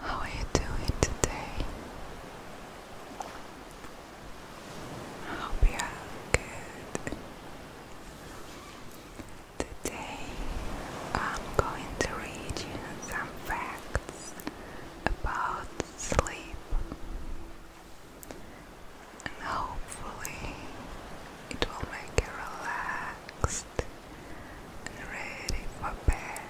How are you doing today? I hope you are good. Today I'm going to read you some facts about sleep. And hopefully, it will make you relaxed ready for bed.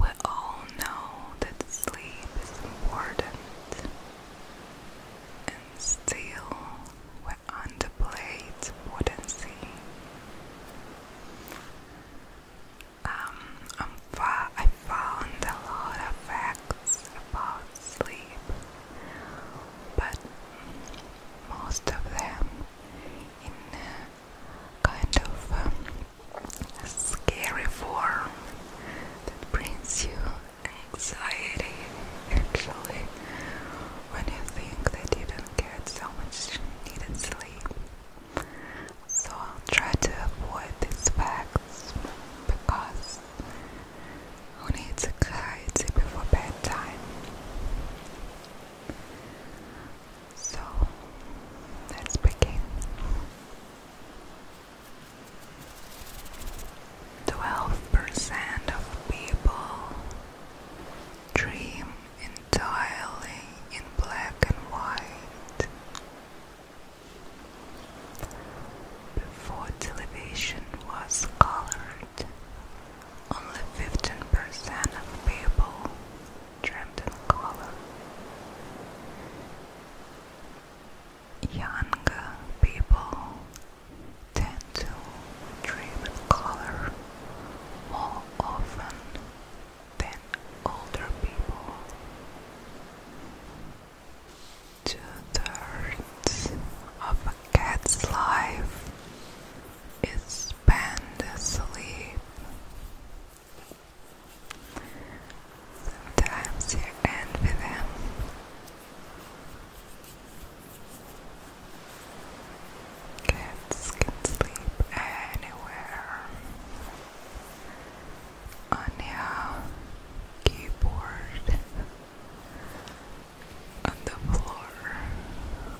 We all know that sleep is important, and still we underplayed potency. Um, I'm fa I found a lot of facts about sleep, but most of them in kind of um, scary form that brings you anxiety actually when you think that you don't get so much needed sleep so I'll try to avoid these facts because who needs anxiety before bedtime? So let's begin. Twelve percent of people dream in entirely in black and white. Before television was colored, only 15% of people dreamed in color. Younger people tend to dream in color more often than older people. Two thirds of a cat's life is spent asleep. Sometimes you envy them. Cats can sleep anywhere on your keyboard, on the floor,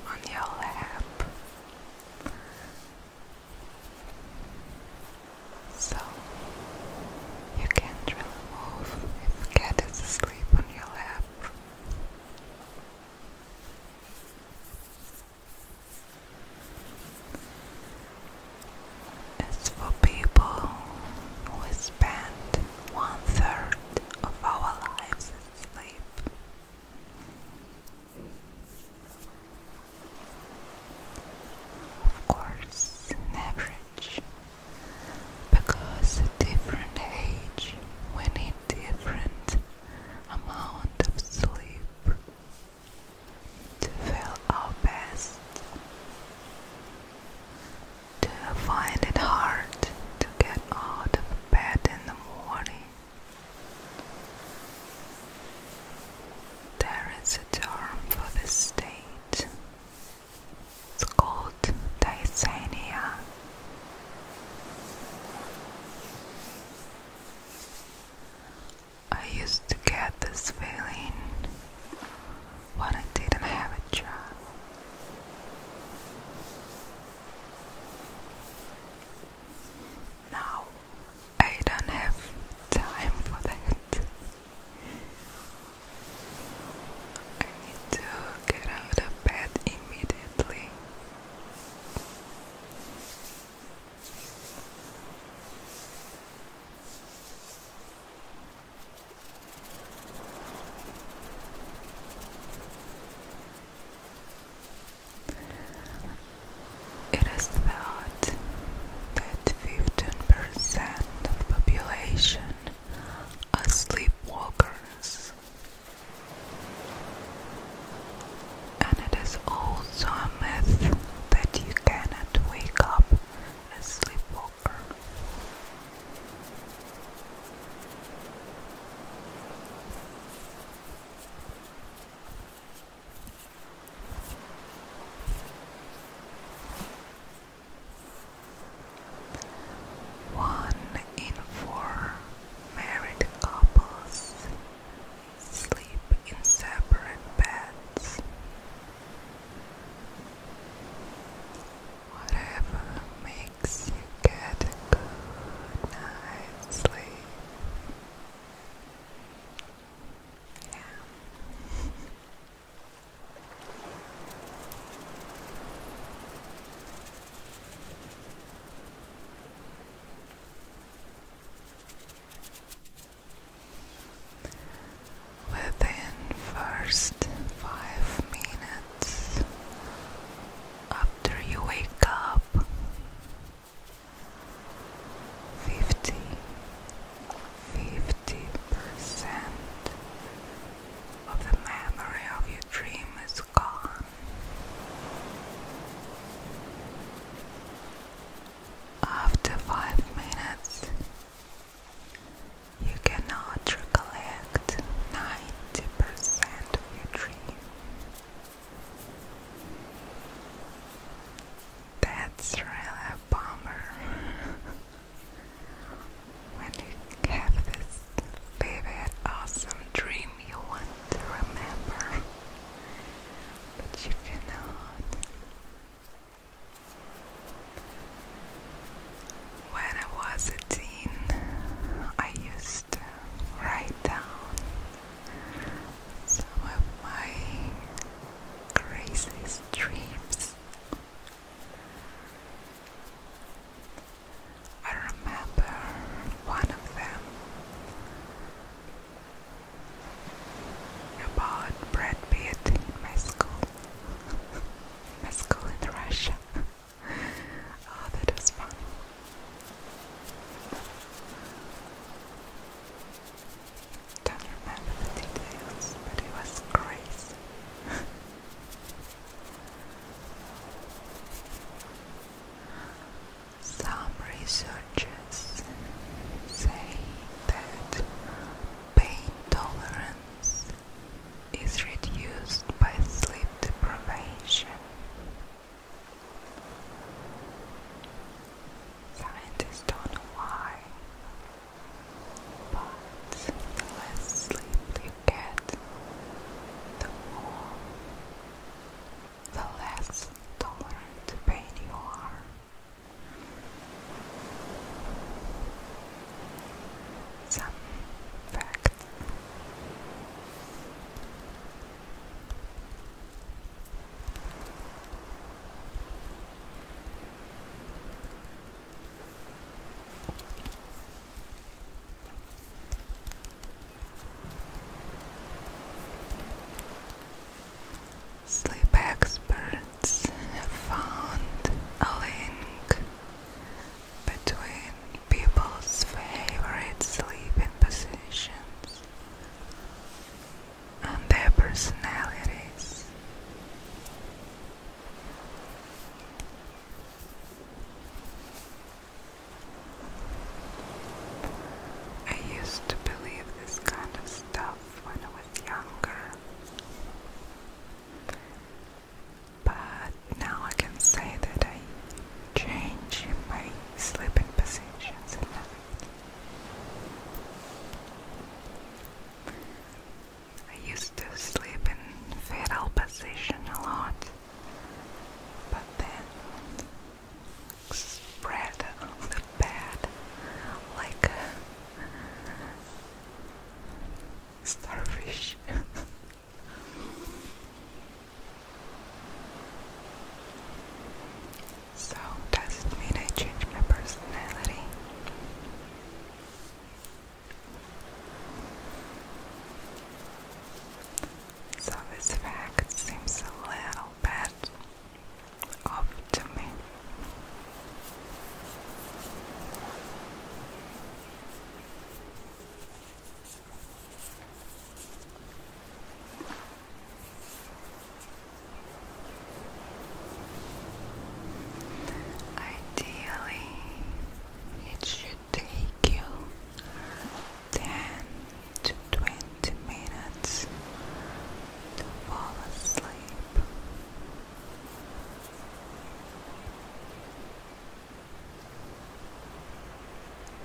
on your lap. So you can't really move if cat is asleep on your lap. It's for people who spend one third of our lives asleep. Of course, average, because at different age we need different amount of sleep to feel our best. Do find it hard to get out of bed in the morning? There is a term for this state. It's called dysania. I used to get this feeling when I didn't have a job. Now I don't have time for that. I need to get out of bed immediately it is thought that 15% of population are sleepwalkers. And it is also a myth that you cannot wake up a sleepwalker. One in four Married couples sleep in separate beds. Whatever makes you get a good night's sleep. Within first five minutes after you wake up, fifty fifty percent of the memory of your dream is after five minutes, you cannot recollect 90% of your dream. That's really a bummer. When you have this vivid, awesome dream you want to remember, but you cannot. When I was a teen, I used to write down some of my craziest dreams. I remember one of them about Brad Pitt in my school, my school in Russia. oh, that fun. Don't remember the details, but it was crazy. Some researchers say that pain tolerance is reduced by sleep deprivation. Scientists don't know why, but the less sleep you get, the more, the less tolerant to pain you are. Some facts. Sleep experts have found a link between people's favorite sleeping positions and their personalities. I used to believe this kind of stuff when I was younger. But now I can say that I change my sleeping positions at night. I used to sleep in fetal position a lot, but then spread on the bed like a starfish. So does it mean I change my personality? So this fact seems a little bit off to me. Ideally, it should take you 10 to 20 minutes to fall asleep.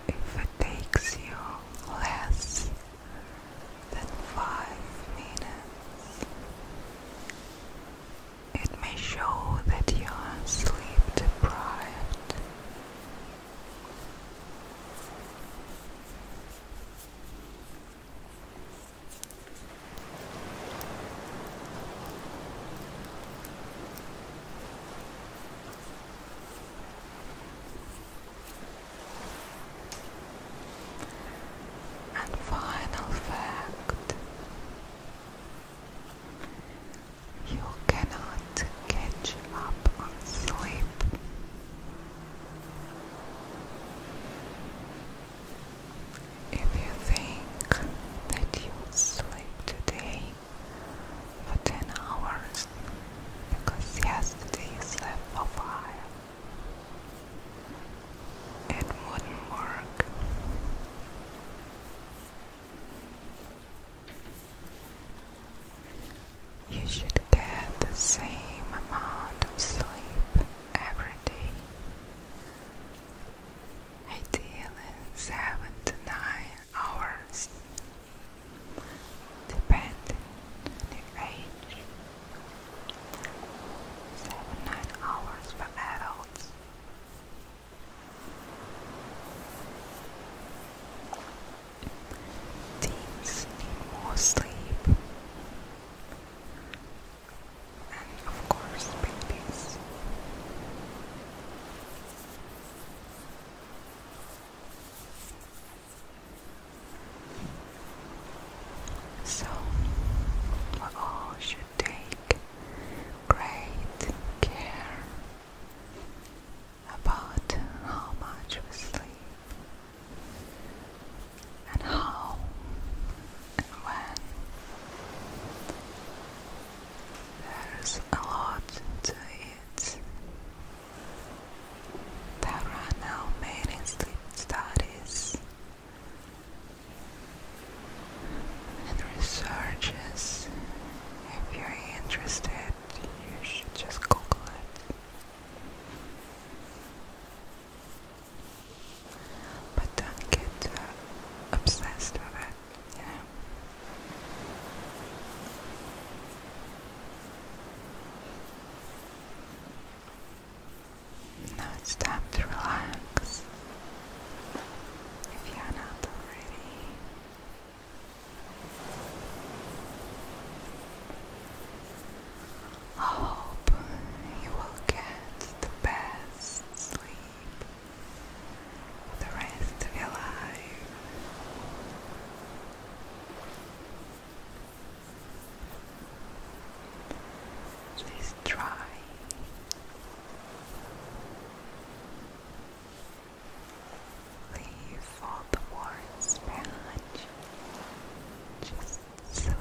If it takes you less than five minutes. It may show that you are sleep deprived. And final fact you cannot catch up on sleep. If you think that you sleep today for 10 hours because yesterday you slept for 5, it wouldn't work. You should get the same amount of sleep every day. Ideally, seven to nine hours, depending on your age. Seven, nine hours for adults. Teens need more sleep. And of course, babies. So, we all should take great care about how much we sleep and how and when. There's a lot to it, there are now many sleep studies and researches. If you're interested, you should just Google it. But don't get obsessed with it, now it's time to relax. If you are not already. I hope you will get the best sleep the rest of your life. Please try. Leave all the words behind. Just sleep.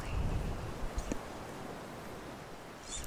Sleep.